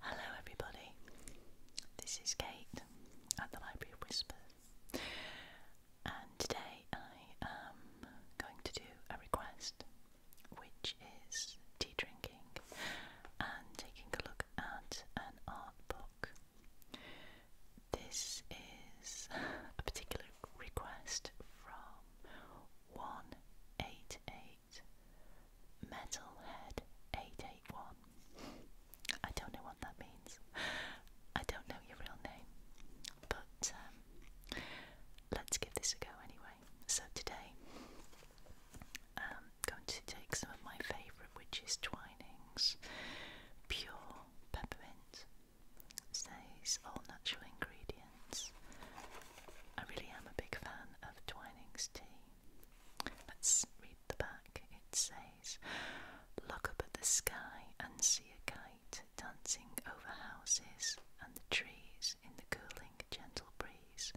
Hello, everybody. This is Kate at the Library of Whispers, and today I am going to do a request which is tea drinking and taking a look at an art book. This is a particular request from 188 Street, Metalhead 881. I don't know what that means. I don't know your real name, but um, let's give this a go anyway. So today, I'm um, going to take some of my favourite, which is Twinings Pure Peppermint. says all natural ingredients. I really am a big fan of Twinings tea. Let's read the back. It says, Look up at the sky and see a kite dancing over houses and the trees in the cooling, gentle breeze.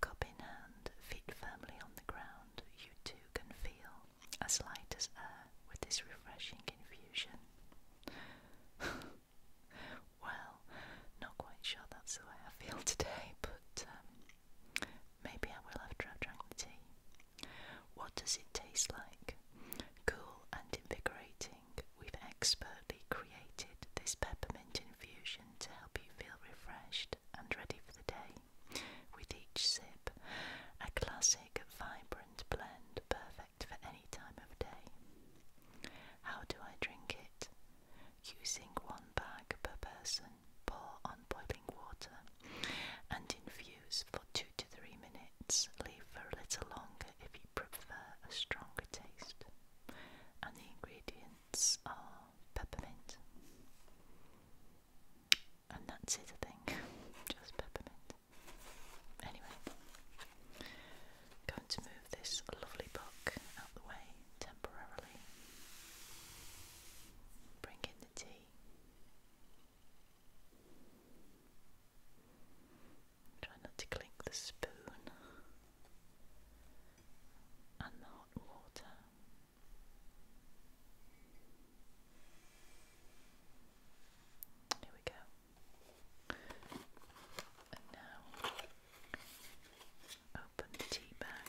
Cup in hand, feet firmly on the ground, you too can feel as light as air with this refreshing infusion. Well, not quite sure that's the way I feel today, but um, maybe I will have drank the tea. What does it taste like? Cool and invigorating, we've expertly created this peppermint infusion to help you feel refreshed and ready for the day. With each sip, a classic, vibrant blend perfect for any time of day. How do I drink it? Using one bag per person, pour on boiling water and infuse for two to three minutes. Leave for a little longer if you prefer a stronger taste. And the ingredients are peppermint. And that's it, I think. Just peppermint. Anyway, I'm going to move this lovely book out the way temporarily. Bring in the tea. Try not to clink the spoon and the hot water. Here we go. And now Open the tea bag.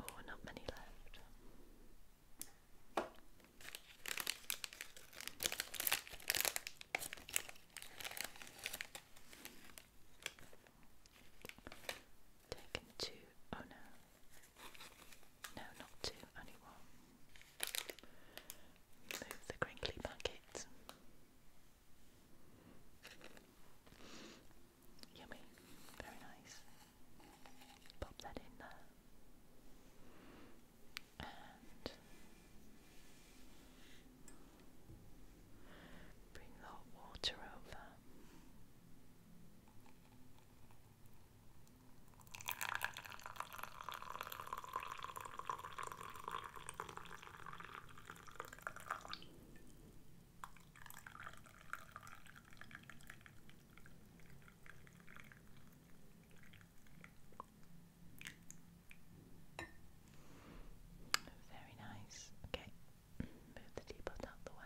Oh, not many left. Taken two, oh no, no, not two, only Move the crinkly bucket. Yummy, very nice. Pop that in there. And bring the hot water over. Very nice. Okay, move the teapot out the way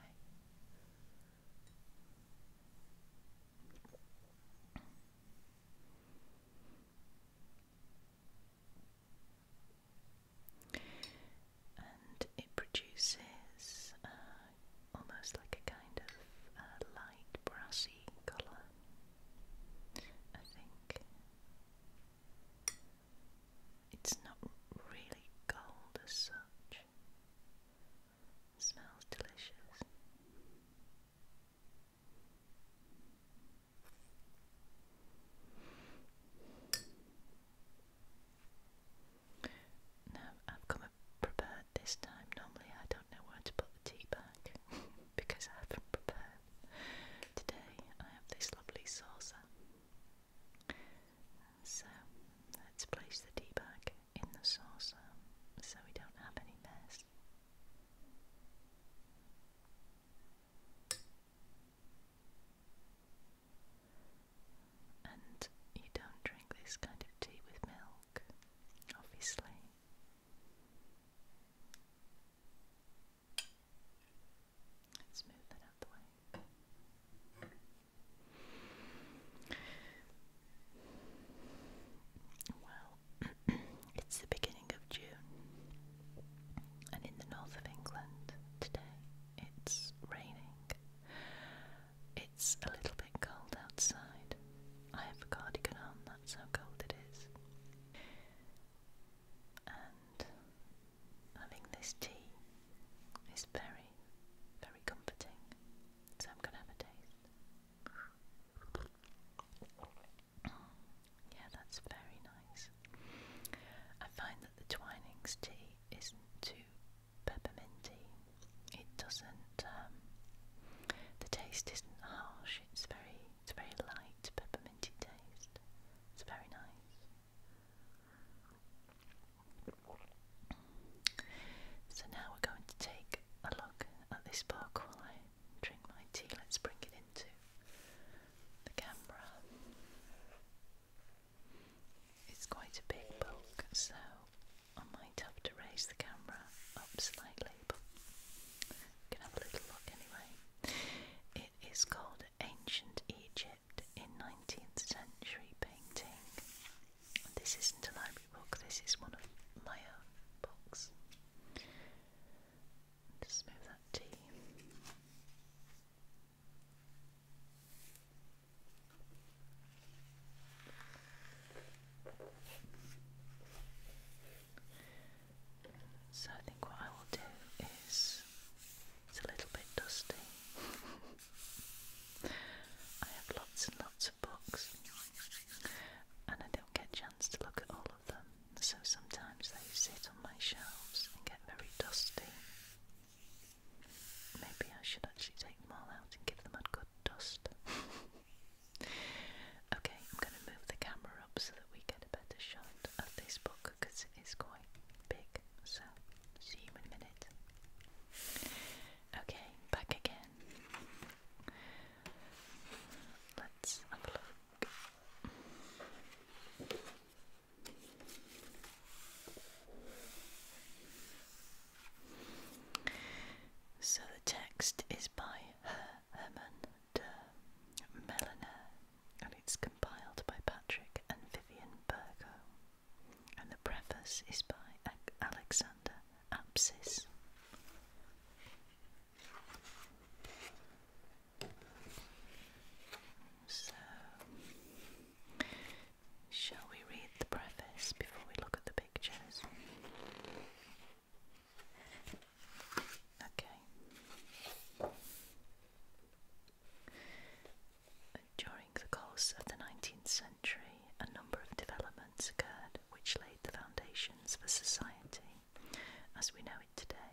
and it produces uh, almost like a kind of uh, light brassy colour, I think. It's not really gold as such. It smells delicious. Now I've come prepared this time. Normally I don't know where to put the tea back because I haven't prepared. Today I have this lovely saucer. So let's place the tea bag in the saucer so we don't have any mess. And you don't drink this kind of tea with milk, obviously. Let's move that out the way. Well, it's the beginning of June, and in the north of England today it's raining. It's a little bit cold outside. I have a cardigan on, that's how cold it is. And having this tea is very, very comforting. So I'm going to have a taste yeah, that's very nice. I find that the Twinings tea isn't too pepperminty. It doesn't. Um, the taste isn't harsh. It's very, it's very light pepperminty taste. It's very nice. So now we're going to take a look at this book, sparkle I drink my tea. Let's bring it into the camera. It's quite a big book, so I might have to raise the camera up slightly, but can have a little look anyway. It is called Ancient Egypt in 19th Century Painting. This isn't a library book, this is one of my own books. Just move that T. So I think what I will do is it's a little bit dusty. I have lots and lots of books and I don't get a chance to look at all of them so sometimes they sit on my shelves and get very dusty. Maybe I should actually take them all out and give them a good dust. okay, I'm going to move the camera up so that we get a better shot of this book because it is quite big. So, see you in a minute. Okay, back again. Let's have so the text is by Herman de Meliner and it's compiled by Patrick and Vivian Burgo. And the preface is by Alexander Apsis. So, shall we read the preface before we look at the pictures? Okay. During the course of the 19th century, a number of developments occurred which laid the foundations for society as we know it today.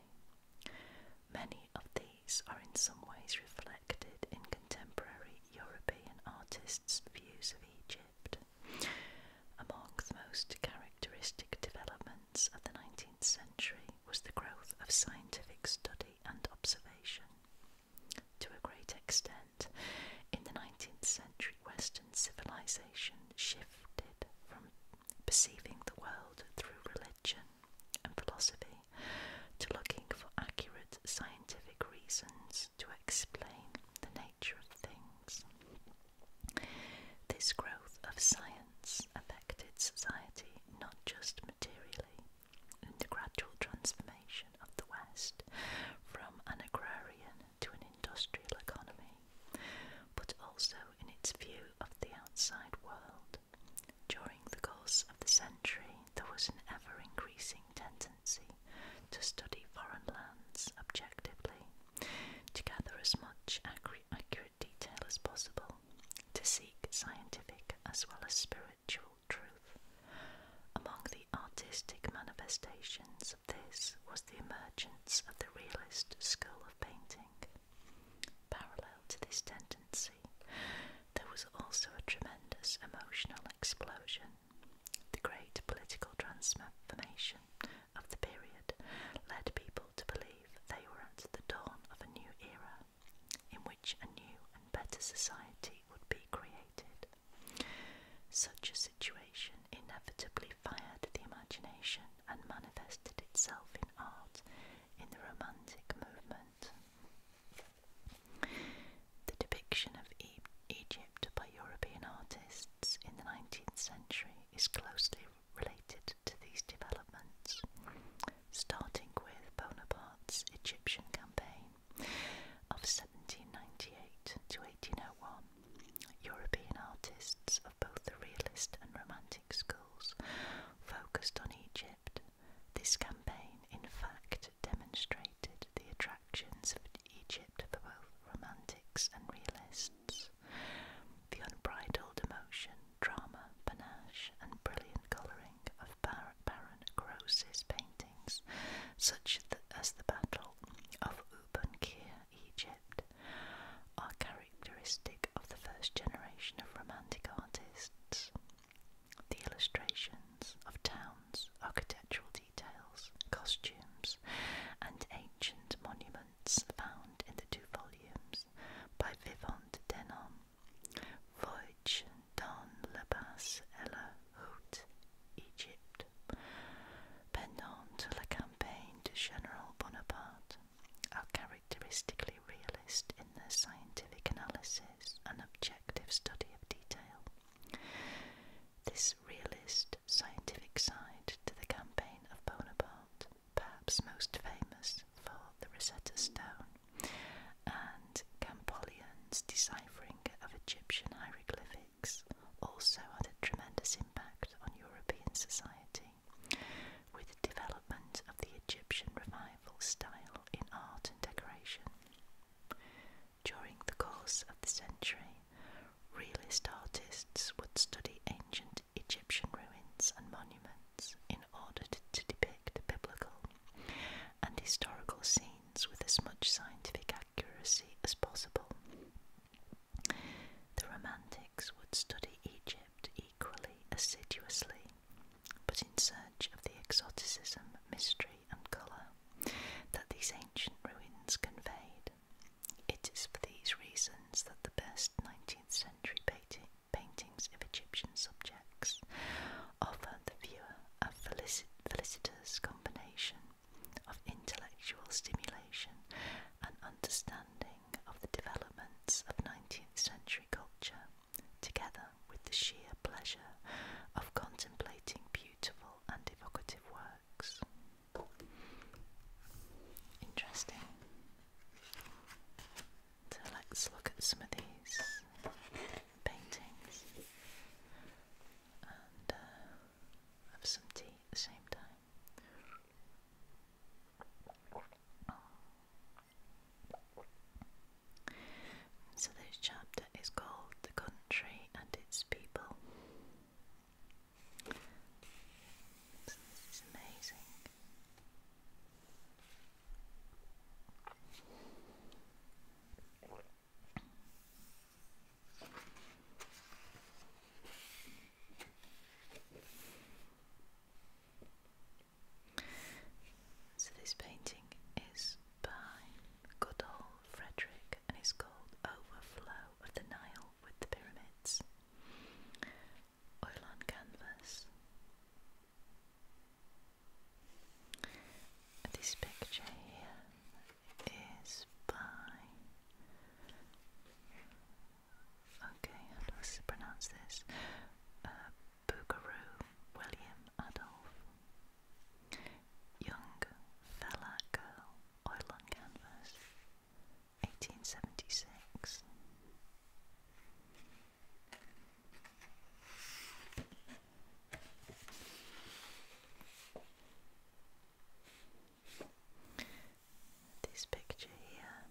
Many of these are in some ways reflected in contemporary European artists' views of Egypt. Among the most characteristic developments of the 19th century was the growth of scientific study and observation. To a great extent, in the 19th century, Western civilization shifted from perceiving the world through religion and philosophy, to looking for accurate scientific reasons to explain the nature of things. This growth of science affected society not just materially, in the gradual transformation of the West from an agrarian to an industrial economy but also in its view of the outside world. During the course of the century, there was an ever increasing tendency to study foreign lands objectively, to gather as much accurate detail as possible, to seek scientific as well as spiritual truth. Among the artistic manifestations of this was the emergence of the realist school of painting. Parallel to this tendency, there was also a tremendous emotional explosion. The great political transformation of the period led people to believe they were at the dawn of a new era in which a new and better society would be created. Such a situation inevitably fired the imagination and manifested itself in art in the Romantic movement. The depiction of Egypt by European artists in the 19th century is closely related to these developments, starting with Bonaparte's Egyptian campaign of 1798 to 1801. European artists of both the realist and romantic schools focused on Egypt. This campaign, in fact, demonstrated the attractions of Egypt for both romantics and realists. The unbridled emotion, drama, panache, and brilliant colouring of Baron Gross's paintings, such as the Battle of Ubankir Egypt, are characteristic of the first generation of Romantic artists. The illustrations of towns, architectural details, costumes, and ancient monuments found in the two volumes by Vivant Denon, Voyage dans la basse et la haute pendant la campagne de General Bonaparte, are characteristically realistic in their scientific analysis and objective study of detail. This realistic scientific side to the campaign of Bonaparte, perhaps most famous for the Rosetta Stone and Campollion's deciphering of Egyptian hieroglyphics, also had a tremendous impact on European society with development of the Egyptian revival style in art and decoration. During the course of the century, realist artists would study ancient Egyptian ruins and monuments in order to depict biblical and historical scenes with as much scientific accuracy as possible. The Romantics would study Egypt equally assiduously, but in search of the exoticism, mystery, and colour that these ancient ruins conveyed. It is for these reasons that the best 19th century paintings of Egyptian subjects offer the viewer a felicitous combination of intellectual stimulation and understanding of the developments of 19th century culture, together with the sheer pleasure of contemplating beautiful and evocative works. Interesting. So let's look at some of these paintings and uh, have some tea at the same time. So, this chapter is called The Country and Its People. So amazing. So this painting is by good Frederick and it's called Overflow of the Nile with the Pyramids. Oil on canvas. This picture here is by Okay, how do pronounce this? Uh, William Adolf. Young Fella Girl, Oil on Canvas, 1876. This picture here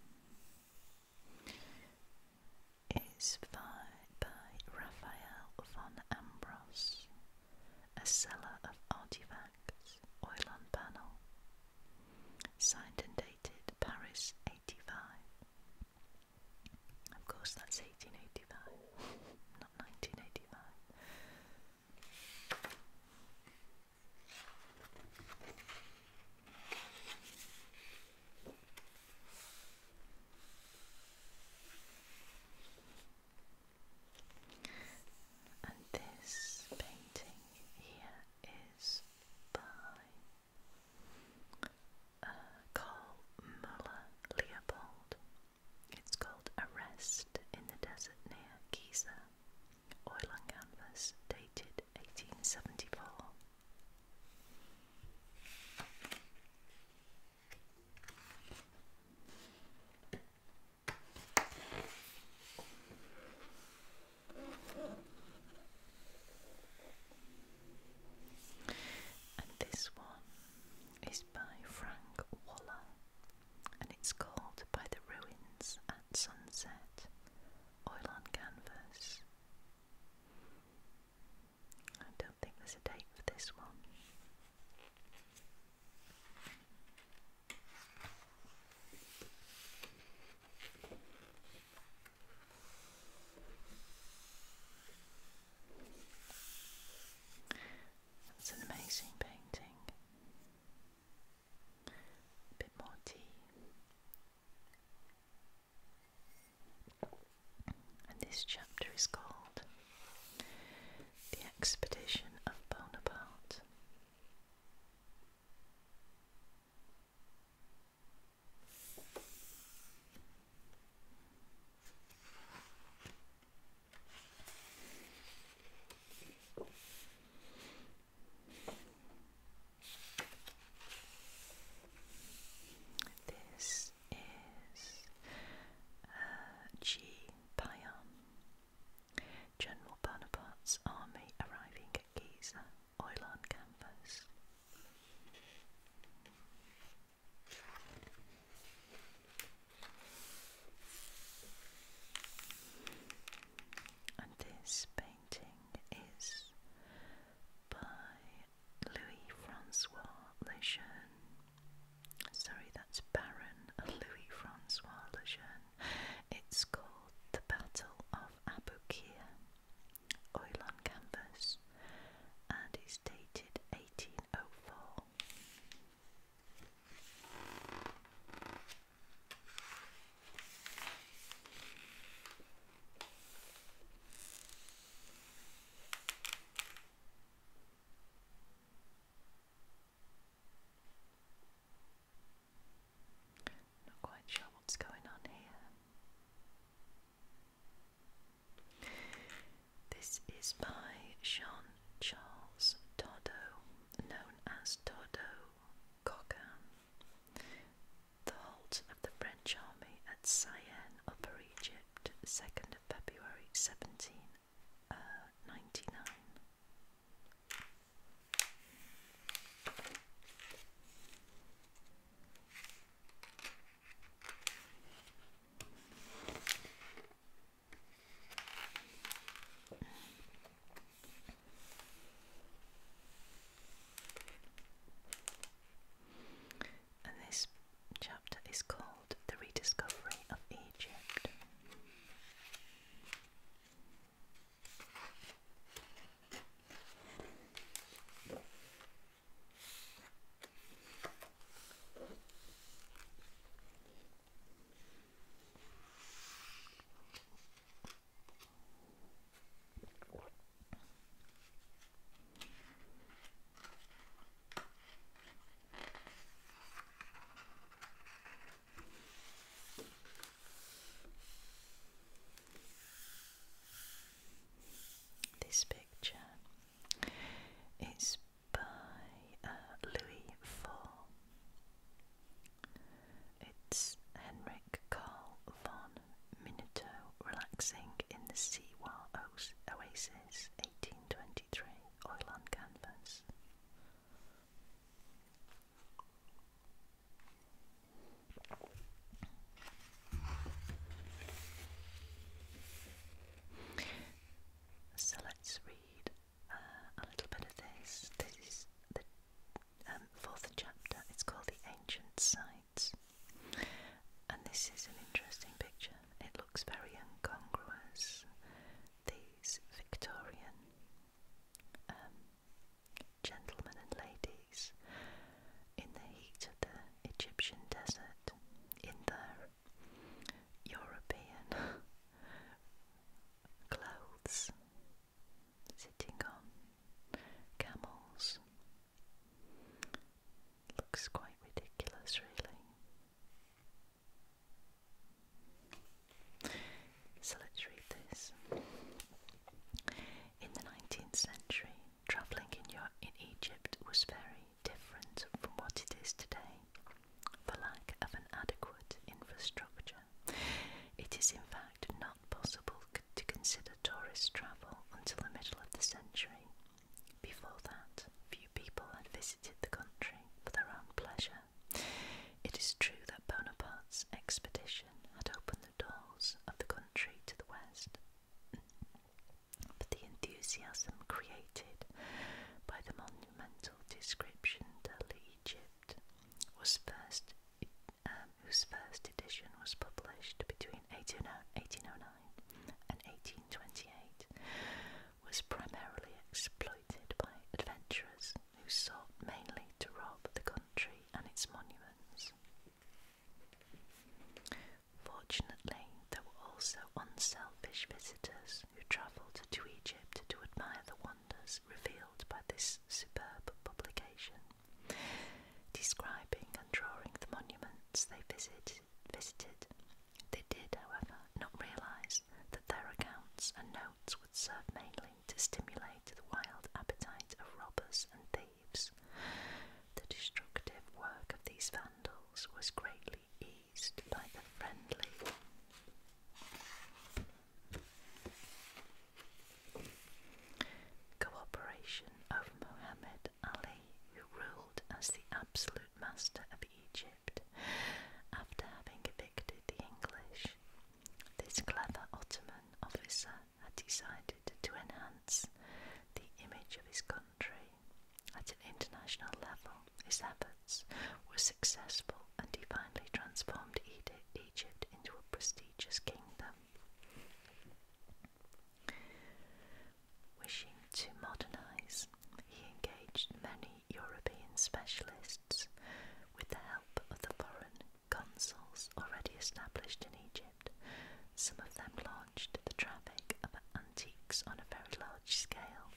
is by Raphael von Ambros, a seller of artifacts, oil on panel, signed and dated Paris 85. Of course, that's 1885, not 1985. And this painting here is by uh, Muller Leopold. It's called Arrest in the Desert Near Giza, oil on canvas, dated 1874. And this one is by Frank Waller, and it's called By the Ruins at Sunset, Oil on Canvas, I don't think there's a date for this one. That's an amazing painting. A bit more tea. And this chapter is called The Expedition of Bonaparte. This is uh, G. Payam, General Bonaparte's army arriving at Giza, Oilan Campus. And this painting is by Louis Francois Lejeune. Sorry, that's Baron Louis Francois Lejeune. It's called The Battle of Aboukir, oil on canvas, and is dated 1804. Not quite sure what's going on here. This is by Sean Charles Toddo, known as Toddo Cockam. The halt of the French army at Syene, Upper Egypt, 2nd of February 1799. Uh, and this chapter is called The Rediscovery of Egypt. This picture is by uh, Louis IV. It's Henry Carl von Minuto relaxing in the Siwa Oasis 1823 oil on canvas. So let's read uh, a little bit of this. This is the um, fourth chapter. It's called The Ancient Sign and this is an interesting picture. It looks very incongruous. These Victorian um, gentlemen and ladies in the heat of the Egyptian desert, in their European clothes, sitting on camels Looks quite ridiculous, really. So let's read this. In the 19th century, travelling in, Europe, in Egypt was very different from what it is today for lack of an adequate infrastructure. It is, in fact, not possible to consider tourist travel until the middle of the century. Before that, few people had visited the country for their own pleasure. It is true that Bonaparte's expedition had opened the doors of the country to the west, but the enthusiasm created by the monumental description of Egypt was first um, whose first edition was published between 1809 and 1828, was primarily exploited by adventurers who sought mainly to rob the country and its monuments. Fortunately, there were also unselfish visitors who travelled to Egypt to admire the wonders revealed by this superb publication describing and drawing the monuments they visited. They did, however, not realise that their accounts and notes would serve mainly to stimulate the wild appetite of robbers and thieves. The destructive work of these vandals was greatly eased by the friendly Cooperation of Muhammad Ali, who ruled as the absolute master of Egypt after having evicted the English. This clever Ottoman officer had decided to enhance the image of his country. At an international level, his efforts were successful and he finally transformed Egypt into a prestigious kingdom. Wishing to modernise, he engaged many European specialists with the help of the foreign consuls already established in Egypt. Some of them launched the traffic of antiques on a very large scale.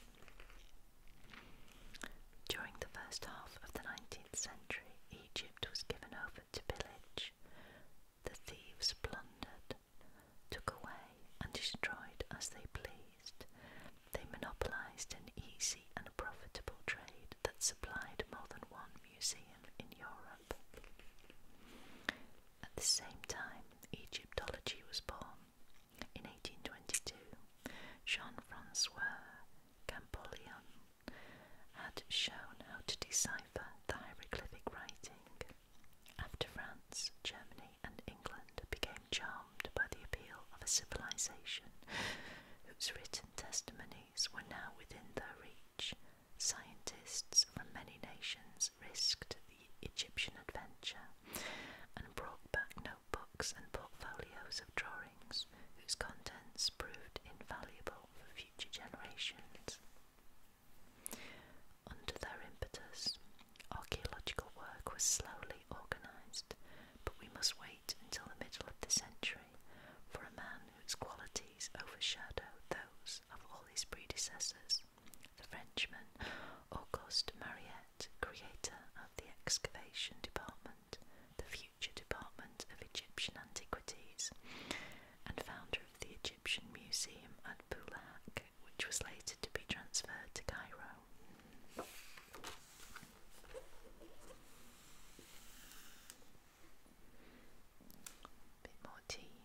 During the first half of the 19th century, Egypt was given over to pillage the thieves plundered, took away, and destroyed as they pleased. They monopolized an easy and profitable trade that supplied more than one museum in Europe. At the same time, Egyptology was born. In 1822, Jean Francois Champollion had shown how to design after France, Germany, and England became charmed by the appeal of a civilization whose written testimonies were now within their reach, scientists from many nations risked the Egyptian adventure and brought back notebooks and portfolios of drawings whose contents proved invaluable for future generations. Under their impetus, archaeological work was slowly organised, but we must wait until the middle of the century for a man whose qualities overshadowed those of all his predecessors, the Frenchman Auguste Mariette, creator of the excavation department, the future department of Egyptian antiquities, and founder the Egyptian Museum at Boulac, which was later to be transferred to Cairo. bit more tea.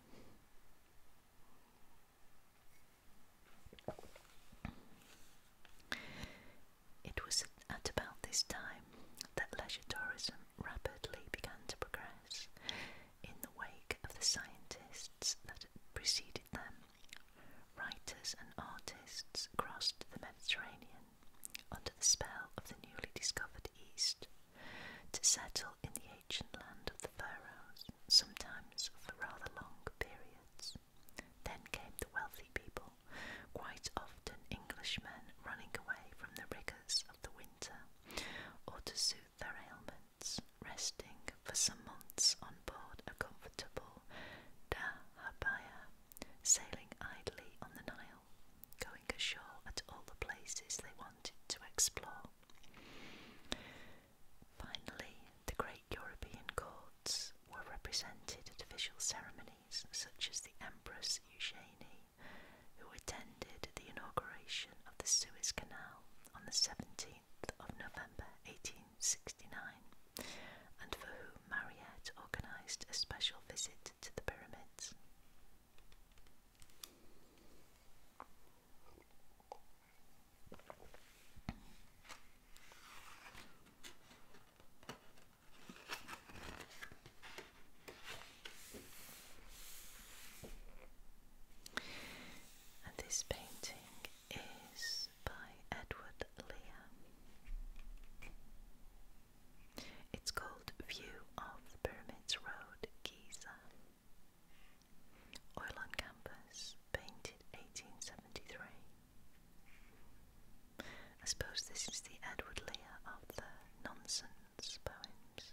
It was at about this time that leisure tourism rapidly began to progress, in the wake of the scientists that preceded them. Writers and artists crossed the Mediterranean under the spell of the newly discovered East to settle in the ancient land of the pharaohs, sometimes for rather long periods. Then came the wealthy people, quite often Englishmen running away from the rigours of the winter or to soothe their ailments, resting for some months on board a comfortable dahabaya, sailing idly on the Nile, going ashore at all the places they wanted to explore. Finally, the great European courts were represented at official ceremonies such as the Empress Eugenie who attended the inauguration of the Suez Canal on the 17th of November 1869, and for whom Mariette organised a special visit to the pyramids this painting is by Edward Lear. It's called View of the Pyramids Road, Giza. Oil on Canvas, painted 1873. I suppose this is the Edward Lear of the nonsense poems.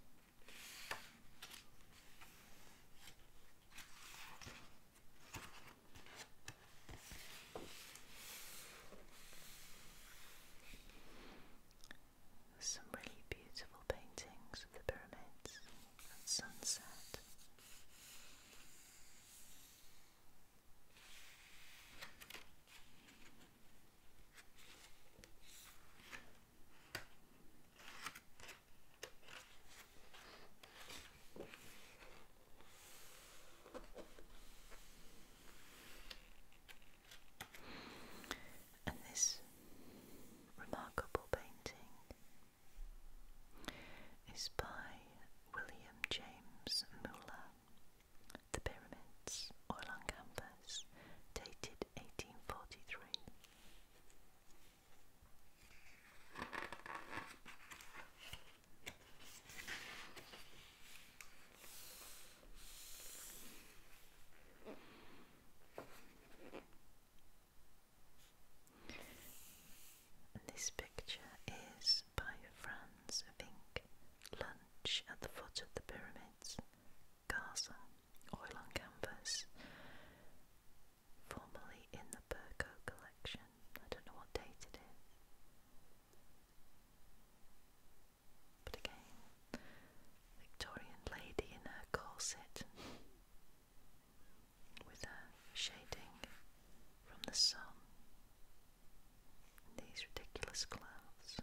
Some really beautiful paintings of the pyramids at sunset. And this remarkable painting is by William James Muller, The Pyramids, oil on canvas, dated 1843. This picture is by Franz Vink, Lunch at the Foot of the Pyramids, Gaza, oil on canvas, formerly in the Burko collection. I don't know what date it is. But again, Victorian lady in her corset with her shading from the sun. These ridiculous clouds.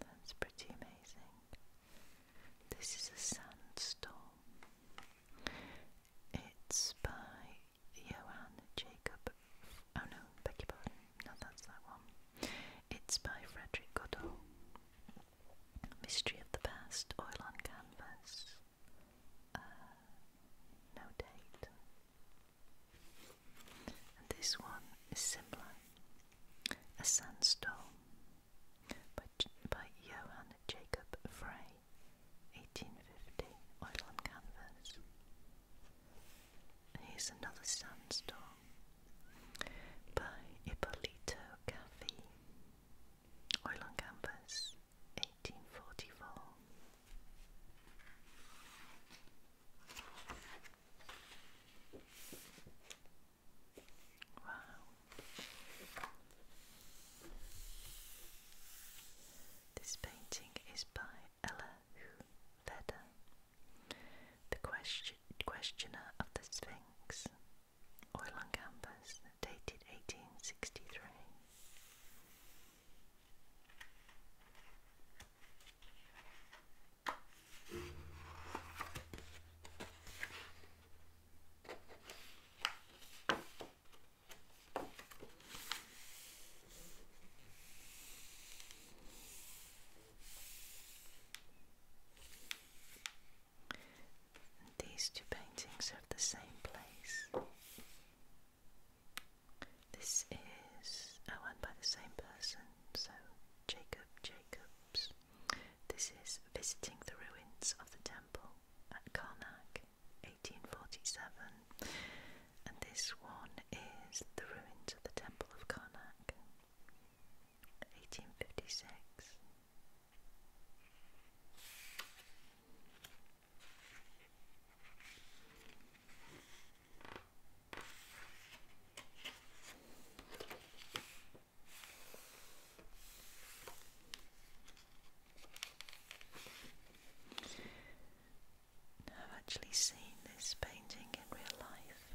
That's pretty amazing. This is a sandstorm. It's by Johann Jacob. Oh no, beg your No, that's that one. It's by Frederick Goodall. Mystery of the Past, Oil on Canvas. Uh, no date. And this one is similar. A Sandstorm by, by Johann Jacob Frey, 1850, oil on canvas. Here's another Sandstorm by Ippolito Caffi, oil on canvas, 1844. Wow. This painting is by Ella Huveda, the questioner of the Sphinx, oil on canvas, dated 1863. These two paintings are the same place. This is, oh, and by the same person, so Jacob Jacobs. This is visiting the ruins of the temple at Karnak, 1847, and this one is the ruins of the temple of Karnak, 1856. I've actually seen this painting in real life.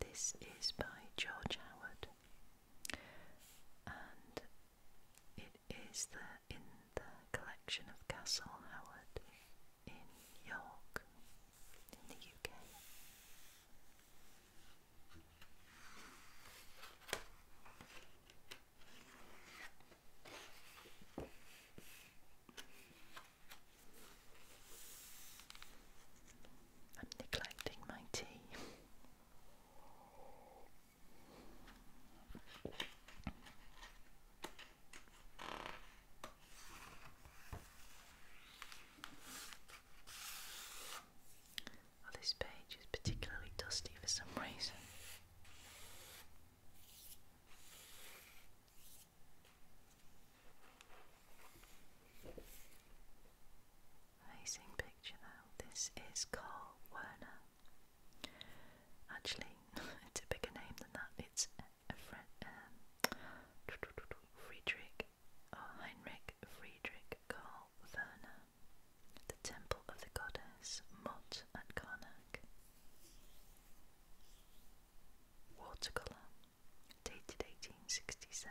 This is by George Howard, and it is in the collection of Castle Howard in York in the I'm neglecting my tea this page is particularly dusty for some reason. Amazing picture though. This is Carl Werner. Actually, it's a bigger name than that. It's um, Friedrich Heinrich Friedrich Karl Werner, the temple of the goddess Mut and Karnak. Watercolour, dated 1867.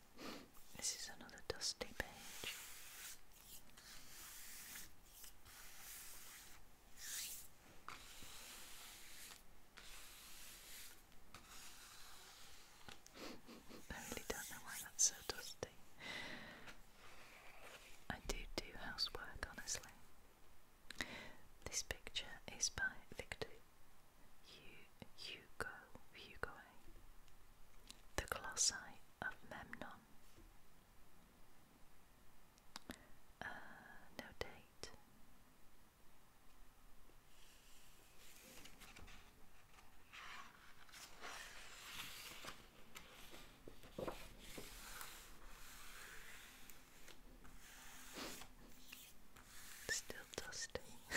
This is another dusty page. I really don't know why that's so dusty. I do do housework, honestly. This picture is by Victor Hugo, Hugo the Colossi of Memnon. Uh, no date. Still dusty.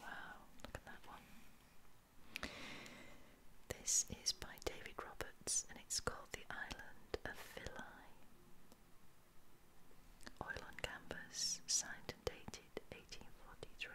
Wow, look at that one. This is by David Roberts and it's called The Island of Philae. Oil on canvas, signed and dated 1843.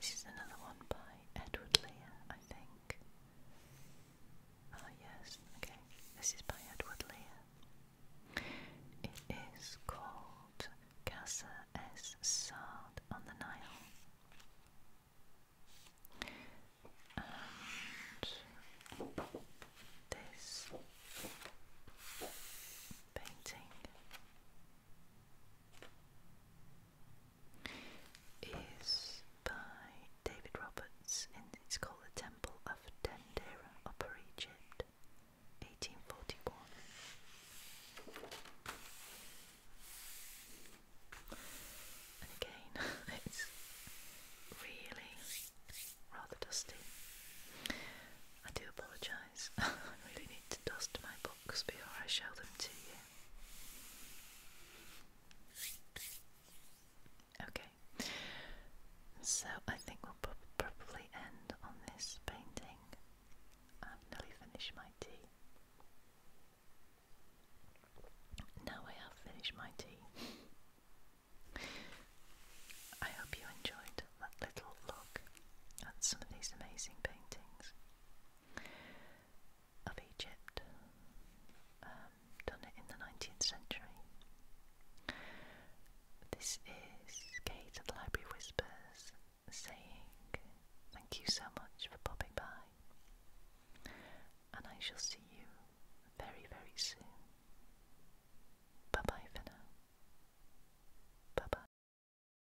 This is another one by Edward Lear, I think. Ah, yes, okay. This is by Edward Lear. It is called "Gasa es Sad on the Nile. And this painting is by David Roberts and it's called The Temple of Dendera, Upper Egypt, 1841. And again, it's really rather dusty. I do apologise I really need to dust my books before I show them to you. Okay, so I think we'll probably end on this painting. i nearly finished my tea. Now I have finished my tea. I hope you enjoyed that little look at some of these amazing paintings of Egypt, um, done it in the 19th century. This is Kate at the Library Whispers saying thank you so much for popping by, and I shall see you very, very soon. Bye bye for now. Bye bye.